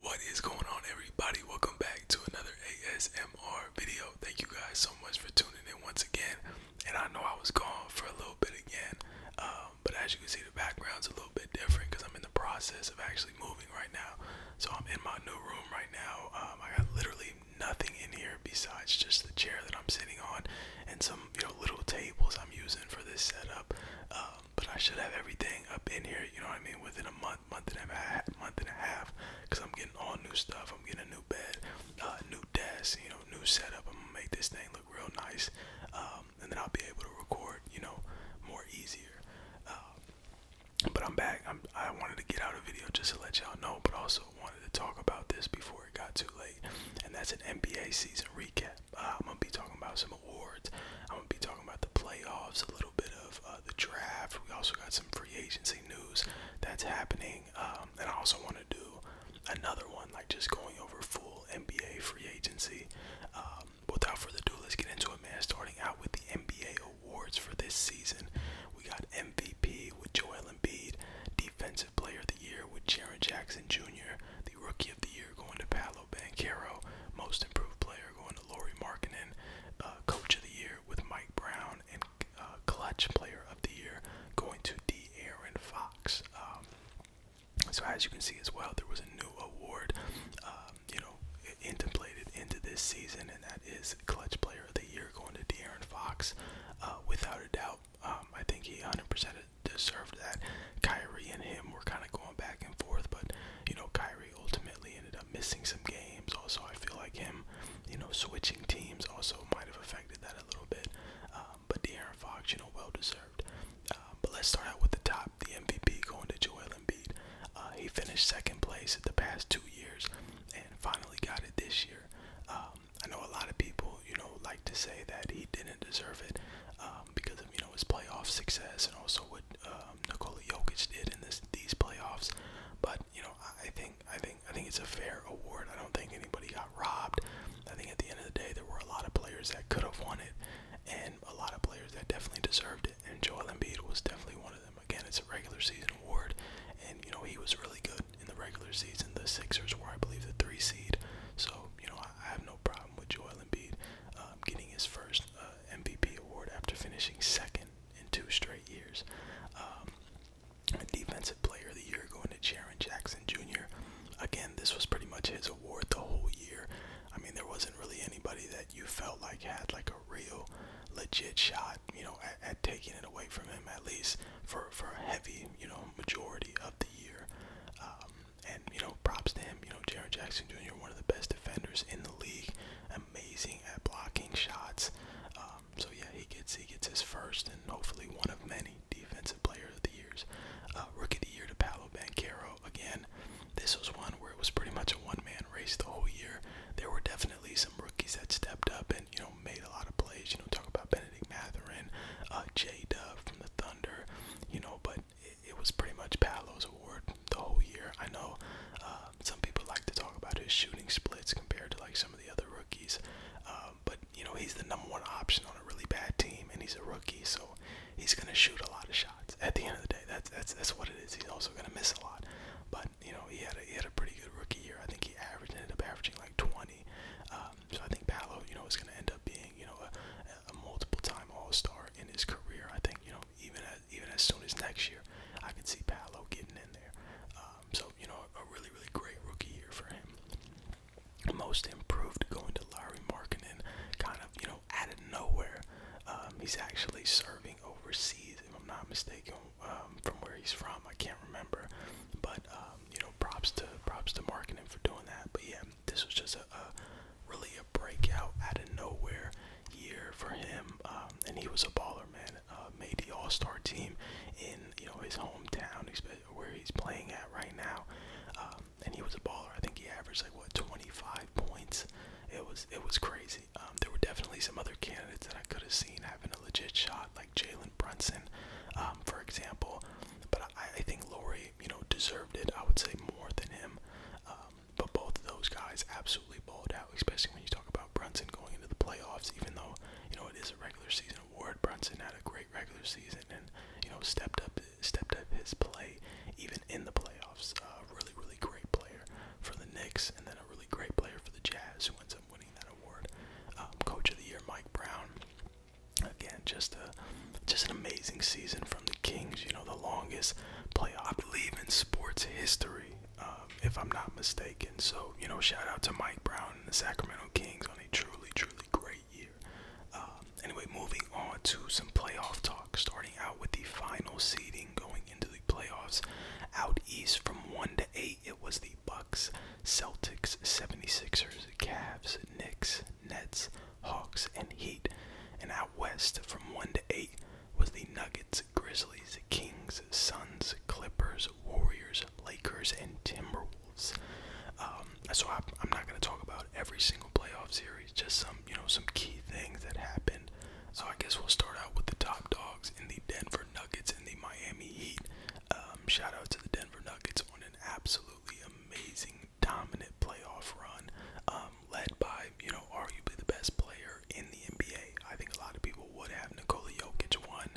What is going on everybody? Welcome back to another ASMR video. Thank you guys so much for tuning in once again. And I know I was gone for a little bit again, um, but as you can see the background's a little bit different because I'm in the process of actually moving right now. So I'm in my new room right now. Um, I got literally nothing in here besides just the chair that I'm sitting on and some little tables I'm using for this setup. Um, um, but I should have everything up in here, you know what I mean, within a month, month and a half, month and a half, because I'm getting all new stuff. I'm getting a new bed, uh, new desk, you know, new setup. I'm gonna make this thing look real nice, um, and then I'll be able to record, you know, more easier. Um, but I'm back. I'm, I wanted to get out a video just to let y'all know, but also wanted to talk about this before it got too late, and that's an NBA season recap. Uh, I'm gonna be talking about some awards. I'm gonna be talking about the playoffs, a little bit of uh, the draft. We also got some free agency news that's happening, um, and I also want to do another one like just going over full NBA free agency. Um, without further ado, let's get into it, man. Starting out with the NBA awards for this season, we got MVP with Joel Embiid, Defensive Player of the Year with Jaron Jackson Jr., the Rookie of the Year going to Paolo Banquero, Most Improved Player going to Lori Markinen, uh, Coach of the Year with Mike Brown, and uh, Clutch Player of the Year going to D. Fox. Um, so as you can see as well, there was a new award, um, you know, Contemplated into this season, and that is Clutch Player of the Year going to De'Aaron Fox, uh, without a doubt. Um, I think he 100% deserved that. Kyrie and him were kind of going back and forth, but you know, Kyrie Kyrie ultimately ended up missing some games. Also, I feel like him, you know, switching teams also might have affected that a little bit. Um, but De'Aaron Fox, you know, well deserved. Uh, but let's start out with the top, the MVP going to Joel Embiid. Uh, he finished second place the past two years and finally got it this year. Um, I know a lot of people, you know, like to say that he didn't deserve it um, because of, you know, his playoff success and also what uh, um, Nikola Jokic did in this these playoffs. But you know, I think I think I think it's a fair award. I don't think anybody got robbed. I think at the end of the day, there were a lot of players that could have won it, and a lot of players that definitely deserved it. And Joel Embiid was definitely one of them. Again, it's a regular season award, and you know he was really good in the regular season. The Sixers were, I believe, the three seed. So you know, I, I have no problem with Joel Embiid um, getting his first uh, MVP award after finishing second in two straight years. Um, a defensive player of the year going to Jaron Jackson Jr. Again, this was pretty much his award the whole year. I mean, there wasn't really anybody that you felt like had like a real legit shot, you know, at, at taking it away from him at least for for a heavy, you know, majority of the year. Um, and you know, props to him. You know, Jaron Jackson Jr. one of the best defenders in the league, amazing at blocking shots. Um, so yeah, he gets he gets his first and hopefully one of many defensive player of the years. Uh, rookie of the year to Paolo Banquero again. This was one where it was pretty much a one-man race the whole year. There were definitely some rookies that stepped up and you know made a lot of plays. You know, talk about Benedict Matherin, uh, J. Dub from the Thunder. You know, but it, it was pretty much Paolo's award the whole year. I know uh, some people like to talk about his shooting splits compared to like some of the other rookies, uh, but you know he's the number one option on a really bad team, and he's a rookie, so he's gonna shoot a lot of shots. At the end of the day, that's that's that's what it is. He's also gonna miss a lot, but you know he had a, he had a pretty good rookie year. I think he averaged ended up averaging like 20. Um, so I think Paolo, you know, is gonna end up being you know a, a a multiple-time All-Star in his career. I think you know, even as, even as soon as next year, I could see Paolo getting in there. Um, so you know, a really really great rookie year for him. Most improved going to Larry Markkinen, kind of you know out of nowhere. Um, he's actually serving overseas, if I'm not mistaken, um, from where he's from. I can't remember, but um, you know, props to props to Markkinen for doing that. But yeah, this was just a, really a breakout out of nowhere year for him, um, and he was a baller, man. Uh, made the All-Star team in you know his hometown, where he's playing at right now, um, and he was a baller. I think he averaged like what 25 points. It was it was crazy. Um, there were definitely some other candidates that I could have seen having a legit shot, like Jalen Brunson, for example. But I, I think Laurie you know, deserved it. I would say more than him. Um, but both of those guys absolutely balled out, especially when you talk about Brunson going into the playoffs. Even though you know it is a regular season award, Brunson had a great regular season and you know stepped up, stepped up his play even in the playoffs. Uh, really, really great player for the Knicks, and then a really great player for the Jazz, who ends up winning that award. Um, Coach of the Year, Mike Brown. Again, just a just an amazing season from the Kings. You know, the longest playoff, I believe, in sports history, um, if I'm not mistaken. So, you know, shout out to Mike Brown and the Sacramento Kings on a truly, truly great year. Um, anyway, moving on to some playoff talk, starting out with the final seeding going into the playoffs. Out east from 1 to 8, it was the Bucks, Celtics, 76ers, Cavs, Knicks, Nets, Hawks, and Heat. And out west from 1 to 8 was the Nuggets, Grizzlies, Kings, Suns, Clippers, Warriors, Lakers, and Timberwolves. so I, am not going to talk about every single playoff series, just some, you know, some key things that happened. So I guess we'll start out with the top dogs in the Denver Nuggets and the Miami Heat. Um, shout out to the Denver Nuggets on an absolute absolutely amazing, dominant playoff run, um, led by you know arguably the best player in the NBA. I think a lot of people would have Nikola Jokic one.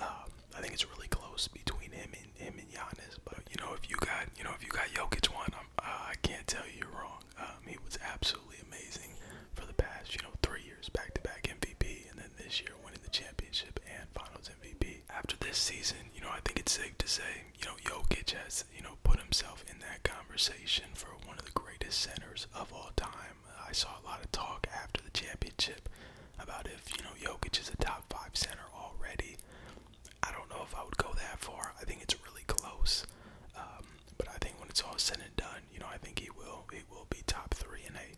Um, I think it's really close between him and him and Giannis. But you know, if you got you know if you got Jokic one, uh, i can't tell you you're wrong. Um, he was absolutely amazing for the past you know three years, back to back MVP, and then this year winning the championship and Finals MVP. After this season, you know, I think it's safe to say you know Jokic has has, you know, put himself in that conversation for one of the greatest centers of all time. I saw a lot of talk after the championship about if, you know, Jokic is a top five center already. I don't know if I would go that far. I think it's really close. Um, but I think when it's all said and done, you know, I think he will he will be top three and eight.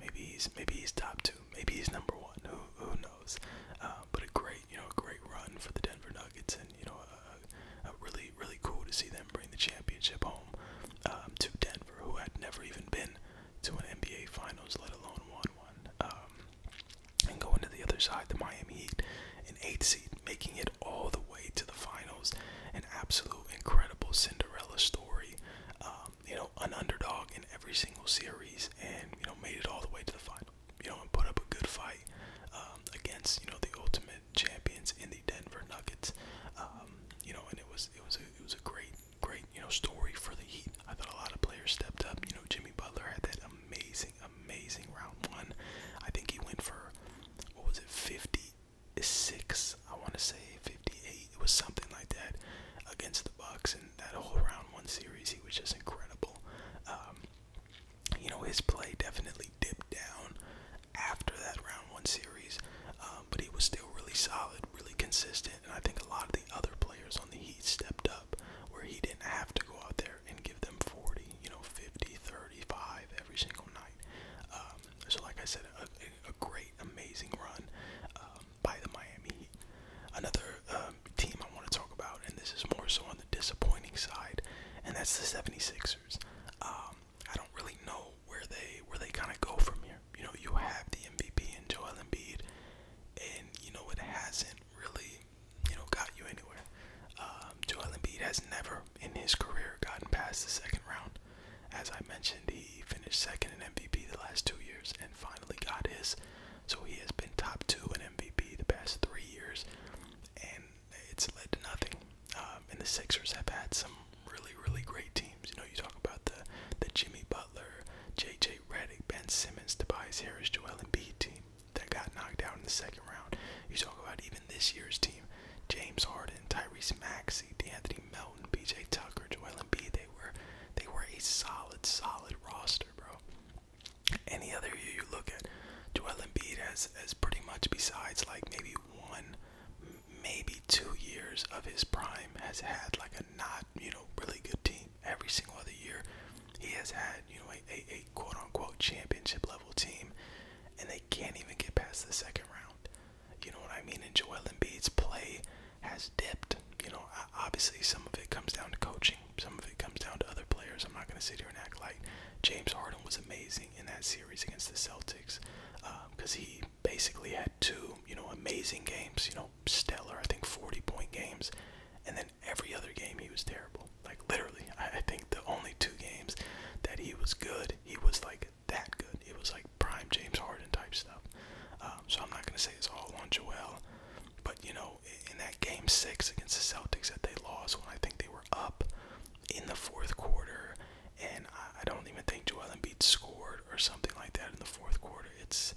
Maybe he's maybe he's top two. Maybe he's number one. Who who knows? Uh, but a great great, you know, a great run for the Denver Nuggets, and you know, a, a really, really cool to see them bring the championship home um, to Denver, who had never even been to an NBA Finals, let alone won one. Um, and going to the other side, the Miami Heat, an eighth seed, making it all the way to the finals, an absolute incredible Cinderella story. Um, you know, an underdog in every single series, and you know, made it all the way to the finals you know, and put up a good fight um, against you know the ultimate champions in the Denver Nuggets. Um, you know, and it was it was it was a great great you know story for the Heat. I thought a lot of players stepped up. You know, Jimmy Butler had that amazing amazing round one. I think he went for what was it 56? I want to say 58. It was something like that against the Bucks, season, that whole round one series, he was just incredible. Um, you know, his play definitely dipped down after that round one series, um, but he was still really solid, really consistent, and I think a lot of the other players on the Heat stepped up where he didn't have to go out there and give them 40, you know, 50, 35 every single night. Um, so, like I said, a, a great, amazing run um, by the Miami Heat. Another uh, um, team I want to talk about, and this is more so on the disappointing side, and that's the 76ers. Um, I don't really know where they where they kind of go from here. You know, you have the MVP and Joel Embiid, and you know it hasn't really you know got you anywhere. Um, Joel Embiid has never in his career gotten past the second round. As I mentioned, he finished second in MVP the last two years and finally got his. So he has been top two in MVP the past three years, and it's led to nothing. Um, and the Sixers have had some really, really great teams. You know, you talk about the the Jimmy Butler, J.J. Redick, Ben Simmons, Tobias Harris, Joel Embiid team that got knocked out in the second round. You talk about even this year's team, James Harden, Tyrese Maxey, DeAnthony Melton, B.J. Tucker, Joel Embiid. They were they were a solid, solid roster, bro any other year you look at, Joel Embiid has has pretty much besides like maybe one, maybe two years of his prime has had like a not you know really good team. Every single other year, he has had you know a, a, a quote unquote championship level team, and they can't even get past the second round. You know what I mean? And Joel Embiid's play has dipped. You know, obviously some of it comes down to coaching, coaching. Some of it comes down to other players. I'm not going to sit here and act like James Harden was amazing in that series against the Celtics because um, he basically had two, you know, amazing games, you know, stellar, I think 40 point games. And then every other game he was terrible. Like literally, I, I think the only two games that he was good, he was like that good. It was like prime James Harden type stuff. Um, so I'm not going to say it's all on Joel, but you know, in that game six against the Celtics that they lost when I think they were up in the fourth quarter, and I, don't even think Joel Embiid scored or something like that in the fourth quarter. It's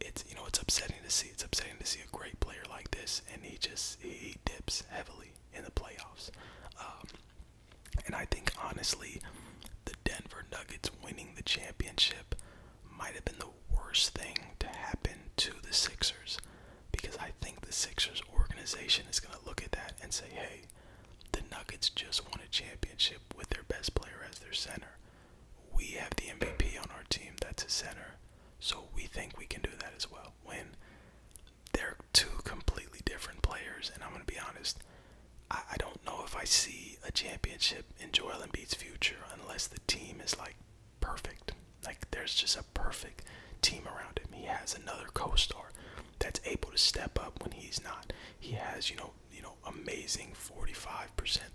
it's you know it's upsetting to see. It's upsetting to see a great player like this, and he just he dips heavily in the playoffs. Um, and I think honestly, the Denver Nuggets winning the championship might have been the worst thing to happen to the Sixers because I think the Sixers organization is going to look at that and say, hey, the Nuggets just won a championship with their best player as their center. We have the MVP on our team that's a center, so we think we can do that as well. When they're two completely different players, and I'm going to be honest, I, I don't know if I see a championship chip in Joel Embiid's future unless the team is like perfect. Like there's just a perfect team around him. He has another co-star that's able to step up when he's not. He has, you know, you know, amazing 45%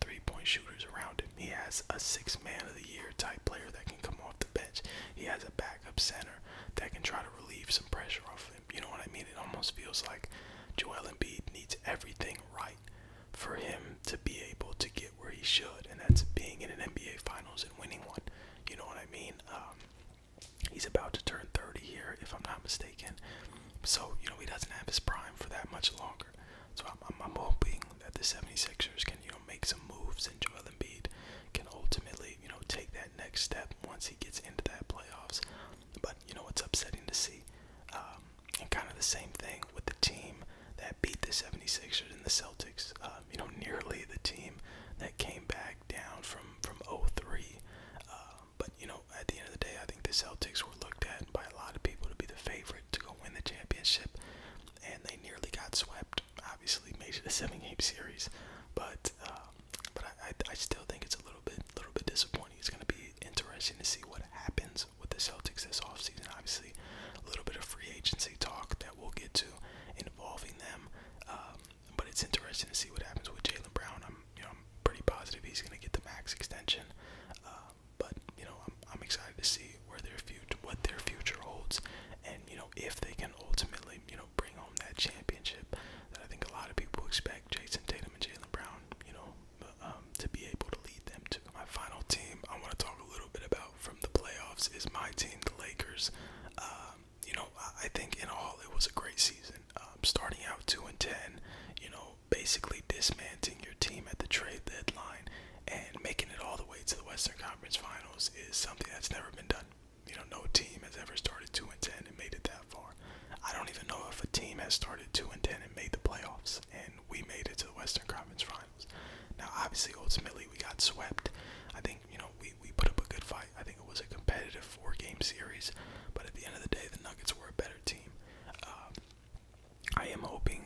three-point shooters around him. He has a six-man of the year type player that can come off the bench. He has a backup center that can try to relieve some pressure off him. You know what I mean? It almost feels like Joel Embiid needs everything right for him to be able to get where he should, and that's being in an NBA Finals and winning one. You know what I mean? Um, he's about to turn 30 here, if I'm not mistaken. So, you know, he doesn't have his prime for that much longer. So I'm, I'm, I'm hoping that the 76ers can, you know, make some moves and Joel Embiid can ultimately, you know, take that next step once he gets into that playoffs. But, you know, it's upsetting to see. Um, and kind of the same thing with the team that beat the 76ers and the Celtics. Um, you know, nearly the team that came back down from from 03. Uh, but you know, at the end of the day, I think the Celtics were looked at by a lot of people to be the favorite to go win the championship, and they nearly got swept. Obviously, made it a seven-game series, but uh, but I, I, I still think it's a little bit little bit disappointing. It's going to be interesting to see what happens happens with the Celtics this offseason. Obviously, a little bit of free agency talk that we'll get to involving them. Um, but it's interesting to see what happens with Jalen Brown. I'm, you know, I'm pretty positive he's going to get the max extension. Uh, but you know, I'm, I'm excited to see where their future, what their future holds, and you know, if they can ultimately, you know, bring home that championship that I think a lot of people expect. Jason Tatum and Jalen Brown, you know, um, to be able to lead them to my final team. I want to talk a little bit about from the playoffs is my team, the Lakers. Um, you know, I think in all it was a great season. Um, starting out two and ten, you know, basically dismantling your team at the trade deadline and making it all the way to the Western Conference Finals is something that's never been done. You know, no team has ever started two and ten and made it that far. I don't even know if a team has started two and ten and made the playoffs. And we made it to the Western Conference Finals. Now, obviously, ultimately, we got swept. I think, you know, we, we put up a good fight. I think it was a competitive four game series, but at the end of the day, the Nuggets were a better team. Um, I am hoping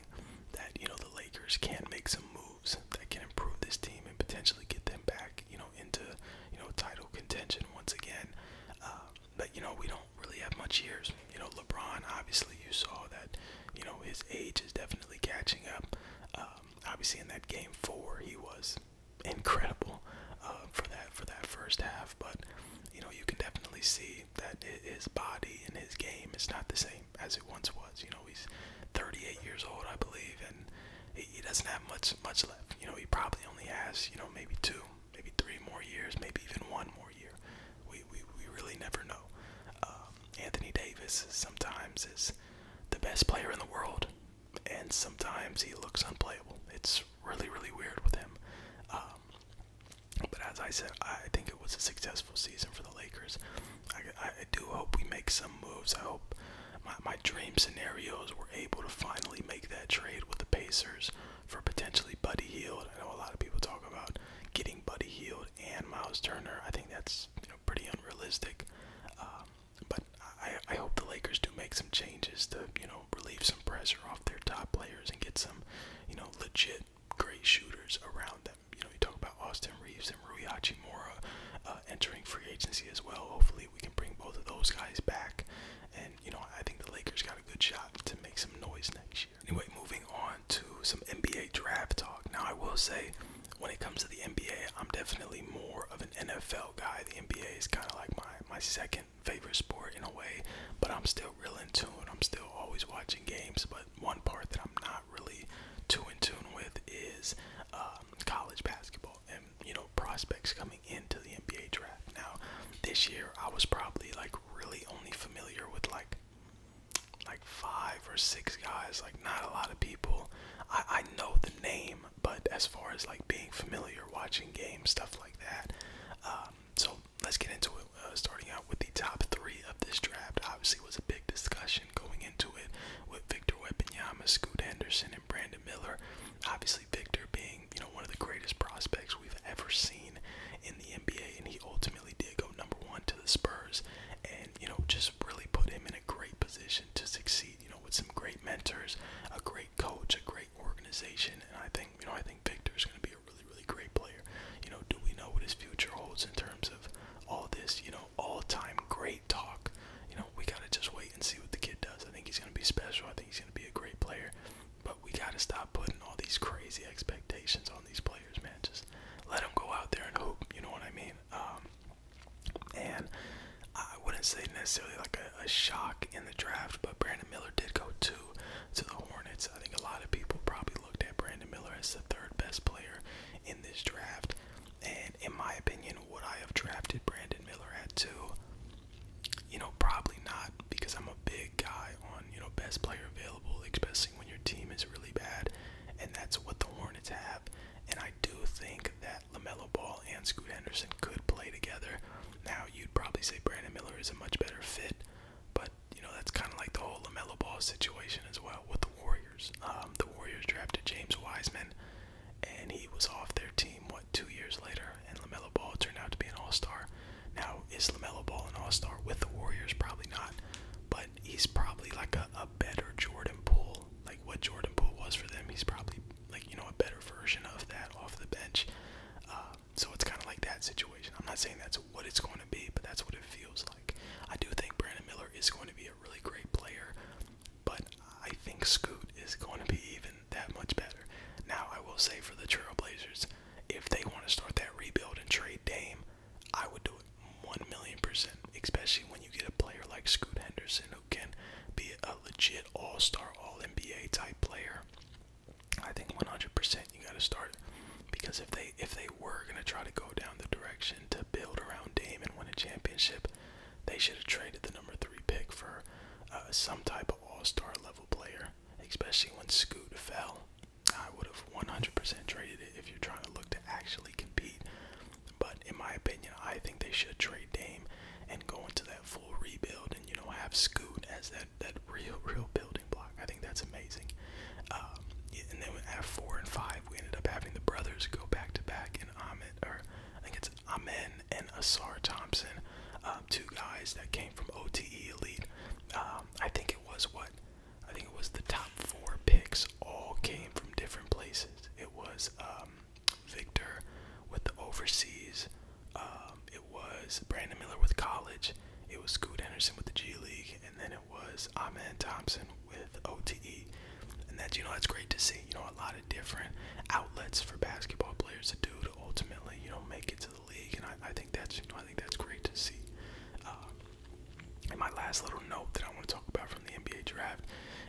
that, you know, the Lakers can make some moves that can improve this team and potentially get them back, you know, into, you know, title contention once again. Um, but you know we don't really have much years. You know LeBron, obviously you saw that. You know his age is definitely catching up. Um, obviously in that game four he was incredible uh, for that for that first half, but you know you can definitely see that his body and his game is not the same as it once was. You know he's 38 years old I believe, and he, he doesn't have much much left. You know he probably only has you know maybe two maybe three more years, maybe even one more year. We we, we really never know. Um, Anthony Davis sometimes is the best player in the world, and sometimes he looks unplayable. It's really really weird with him. Um, but as I said, I think it was a successful season for the Lakers. I, I do hope we make some moves. I hope my, my dream scenarios were able to finally make that trade with the Pacers for potentially Buddy Heald. I know a lot of people talk about getting Buddy Heald and Miles Turner. I think that's you know, pretty unrealistic. Um, but I, I hope the Lakers do make some changes to you know relieve some pressure off their top players and get some you know legit great shooters around them. You know you talk about Austin Reeves and Rui Hachimura uh, entering free agency as well. Hopefully we can bring both of those guys back, and you know I think the Lakers got a good shot to make some noise next year. Anyway, moving on to some NBA draft talk. Now, I will say, when it comes to the NBA, I'm definitely more of an NFL guy. The NBA is kind of like my, my second favorite sport in a way, but I'm still real in tune. I'm still always watching games, but one part that I'm not really too in tune with is um, college basketball and, you know, prospects coming into the NBA draft. Now, this year, I was probably like like really only familiar with like like five or six guys, like not a lot of people. I I know the name, but as far as like being familiar, watching games, stuff like that. Um, so let's get into it. Uh, starting out with the top three of this draft, obviously was a big discussion going into it with Victor Wembanyama, Scoot Henderson, and Brandon Miller. Obviously, Victor being being, you know, one of the greatest prospects we've ever seen in the NBA, and he ultimately did go number one to the Spurs, and you know, just really put him in a great position to succeed. You know, with some great mentors, a great coach, a great organization, and I think, you know, I think Victor is going to be a really, really great player. You know, do we know what his future holds in terms of all this? You know, all-time great talk. You know, we gotta just wait and see what the kid does. I think he's gonna be special. I think he's gonna be a great player. But we gotta stop putting all these crazy expectations on these players, man. Just let them go out there and hoop. You know what I mean? Um, and I wouldn't say necessarily like a, shock in the draft, but Brandon Miller did go to to the Hornets. I think a lot of people probably looked at Brandon Miller as the third best player in this draft. And in my opinion, would I have drafted Brandon Miller at two? You know, probably not because I'm a big guy on, you know, best player available, especially when your team is really bad. And that's what the Hornets have. And I do think that LaMelo Ball and Scoot Henderson could play together. Now, you'd probably say Brandon Miller is a much better fit, but, you know, that's kind of like the whole LaMelo Ball situation as well with the Warriors. Um, the Warriors drafted James Wiseman, and he was off their team, what, two years later? And LaMelo Ball turned out to be an all star. Now, is LaMelo Ball an all star with the Warriors? Probably not. But he's probably like a, a better Jordan Poole. Like what Jordan Poole was for them, he's probably like, you know, a better version of that off the bench. Uh, so it's kind of like that situation. I'm not saying that's what it's going to be, but that's what it feels like. I do think Brandon Miller is going to be a really great player, but I think Scoot is going to be even been that much better. Now, I will say for the Trailblazers, if they want to start that rebuild and trade Dame, I would do it 1 million percent, especially when you get a player like Scoot Henderson who can be a legit all star, all NBA type player. I think 100% you got to start because if they if they were going to try to go down the direction to build around Dame and win a championship, they should have traded the number 3 pick for uh, some type of all-star level player especially when Scoot fell. I would have 100% traded it if you're trying to look to actually compete. But in my opinion, I think they should trade Dame and go into that full rebuild and you know have Scoot as that that real real building block. I think that's amazing. Um, and then at four and five, we ended up having the brothers go back to back and Ahmed or I think it's Amen and Asar Thompson. Um, two guys that came from OTE Elite. Um, I think it was what? I think it was the top four picks all came from different places. It was um, Victor with the overseas. it was Brandon Miller with college. It was Scoot Henderson with the G League, and then it was Ahmed Thompson with OTE. And that's you know that's great to see. You know a lot of different outlets for basketball players to do to ultimately you know make it to to the league, and I, I think that's you know I think that's great to see. Uh, and my last little note that I want to talk about from the NBA draft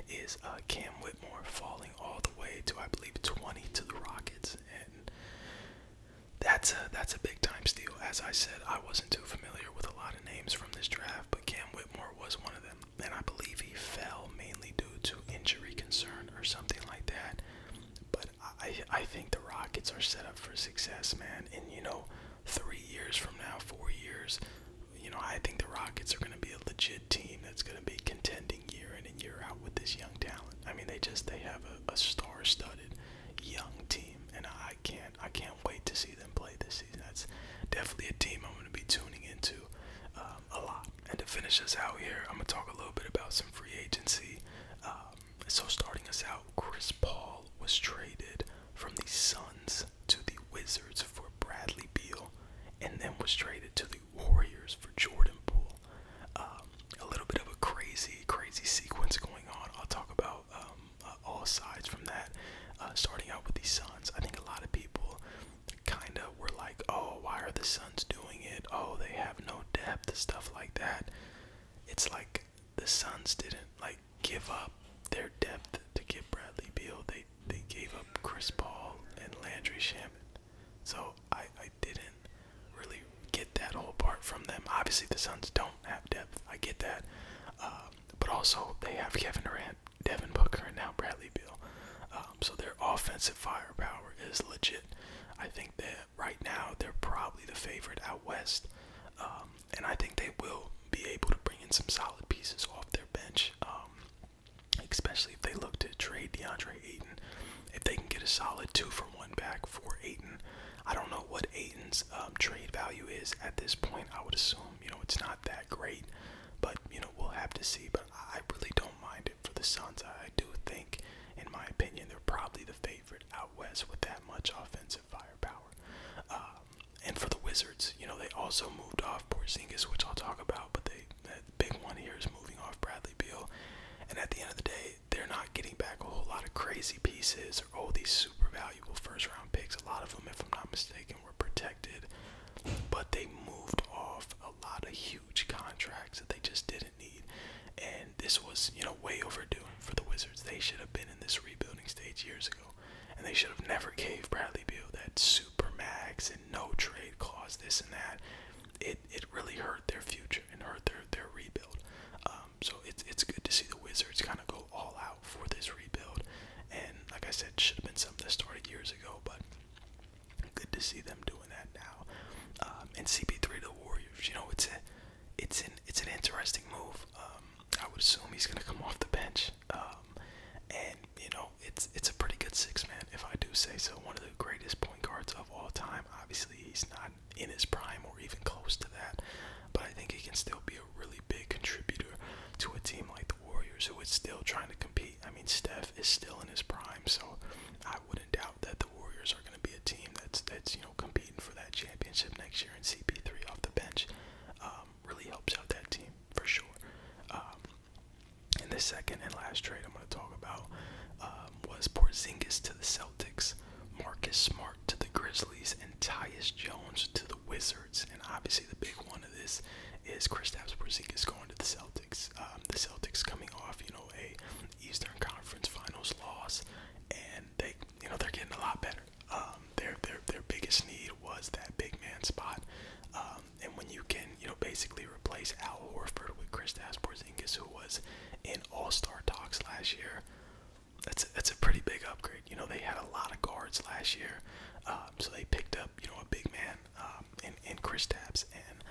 is uh, Cam Whitmore falling all the way to I believe 20 to the Rockets, and that's a that's a big time steal. As I said, I wasn't too familiar with a lot of names from this draft, but Cam Whitmore was one of them, and I believe he fell mainly due to injury concern or something like that. But I I think the Rockets are set up for success, man. And you know, three years from now, four years, you know, I think the Rockets are gonna be a legit team that's gonna be contending year in and year out with this young talent. I mean, they just they have a, a star-studded young team, and I can't I can't wait to see them play this season. That's definitely a team I'm gonna be tuning into. Uh, um, a lot. And to finish us out here, I'm gonna talk a little bit about some free agency. Um, so starting us out, Chris Paul was traded from the Suns to the Wizards for Bradley Beal, and then was traded to the Warriors for Jordan Poole. Um, a little bit of a crazy, crazy sequence going on. I'll talk about uh, all sides from that. Uh, starting out with the Suns, I think a lot of people kind of were like, oh, why are the Suns doing it? Oh, they have no depth, stuff like that. It's like the Suns didn't like give up their depth to get Bradley Beal. They they gave up Chris Paul and Landry Shaman. So I, I didn't really get that whole part from them. Obviously, the Suns don't have depth. I get that. Uh, but also, they have Kevin Durant, Devin Booker, and now Bradley Beal. Um, so their offensive firepower is legit. I think that right now they're probably the favorite out west, um, and I think they will be able to bring in some solid pieces off their bench, um, especially if they look to trade DeAndre Ayton. If they can get a solid two from one back for Ayton, I don't know what Ayton's trade value is at this point. I would assume you know it's not that great, but you know we'll have to see. But I really don't mind for the Suns. I do think, in my opinion, they're probably the favorite out west with that much offensive firepower. Um, and for the Wizards, you know, they also moved off Porzingis, which I'll talk about, but they that big one here is moving off Bradley Beal. And at the end of the day, they're not getting back a whole lot of crazy pieces or all these super valuable first round picks. A lot of them, if I'm not mistaken, were protected, but they moved off a lot of huge contracts that they just didn't need. And this was, you know, way overdue for the Wizards. They should have been in this rebuilding stage years ago. And they should have never gave Bradley Beal that super max and no trade clause, this and that. It it really hurt their future and hurt their their rebuild. Um, so it's it's good to see the Wizards kind of go all out for this rebuild. And like I said, should have been something that started years ago, but Good to see them doing that now. Um, and CP3 to the Warriors, you know, it's a, it's an, it's an interesting move. Um, I would assume he's gonna come off the bench. Um, and you know, it's it's a pretty good six man, if I do say so. One of the greatest point guards of all time. Obviously, he's not in his prime or even close to that, but I think he can still be a really big contributor to a team like the Warriors, who is still trying to compete I mean, Steph is still in his prime, so I wouldn't doubt that the Warriors are going to be a team that's that's you know competing for that championship next year. And CP3 off the bench um, really helps out that team for sure. Um, and the second and last trade I'm going to talk about um, was Porzingis to the Celtics, Marcus Smart to the Grizzlies, and Tyus Jones to the Wizards. And obviously, the big one of this is Kristaps Porzingis going to the Celtics. Uh, um, the Celtics coming off, you know, a Eastern Conference Finals loss, and they, you know, they're getting a lot better. Um, their their their biggest need was that big man spot, um, and when you can, you know, basically replace Al Horford with Kristaps Porzingis, who was in All Star talks last year, that's a, that's a pretty big upgrade. You know, they had a lot of guards last year, um, so they picked up, you know, a big man um, and and Chris Taps, and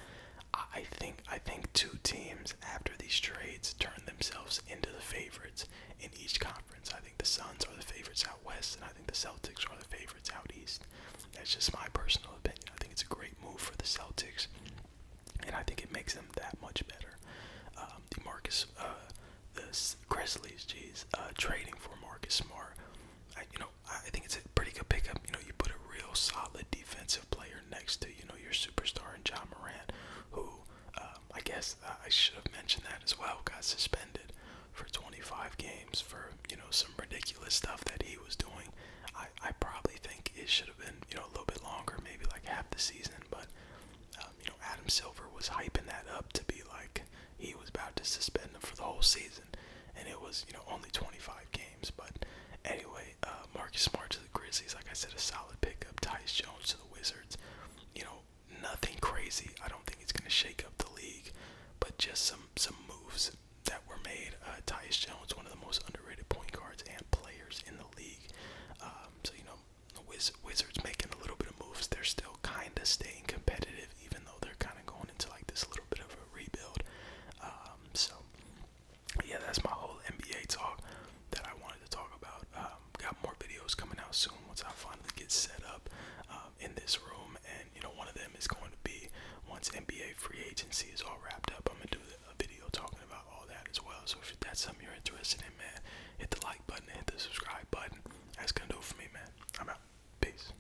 I think I think two teams after these trades turn themselves into the favorites in each conference. I think the Suns are the favorites out west, and I think the Celtics are the favorites out east. That's just my personal opinion. I think it's a great move for the Celtics, and I think it makes them that much better. Um, the Marcus, uh, the Grizzlies, geez, uh, trading for Marcus Smart. I, you know, I think it's a pretty good pickup. You know, you put a real solid defensive player next to you know your superstar and John Morant, who um, I guess I should have mentioned that as well. Got suspended for 25 games for you know some ridiculous stuff that he was doing. I I probably think it should have been you know a little bit longer, maybe like half the season. But um, you know Adam Silver was hyping that up to be like he was about to suspend him for the whole season and it was you know only 25 games. But anyway, uh, Marcus Smart to the Grizzlies, like I said, a solid pickup. Tyus Jones to the Wizards, you know nothing crazy. I don't think it's gonna shake up the league, but just some some moves that were made. Uh, Tyus Jones, one of the most underrated point guards and players in the league. Um, so you know, the Wiz Wizards making a little bit of moves. They're still kind of staying competitive even though they're kind of going into like this little bit of a rebuild. Um, so, yeah, that's my whole NBA talk that I wanted to talk about. Um, got more videos coming out soon once I finally get set up um, in this room, and you know, one of them is going to be once NBA free agency is all wrapped up. I'm gonna do a video talking about all that as well. So, if that's something you're interested in, man, hit the like button, hit the subscribe button. That's gonna do it for me, man. I'm out. Peace.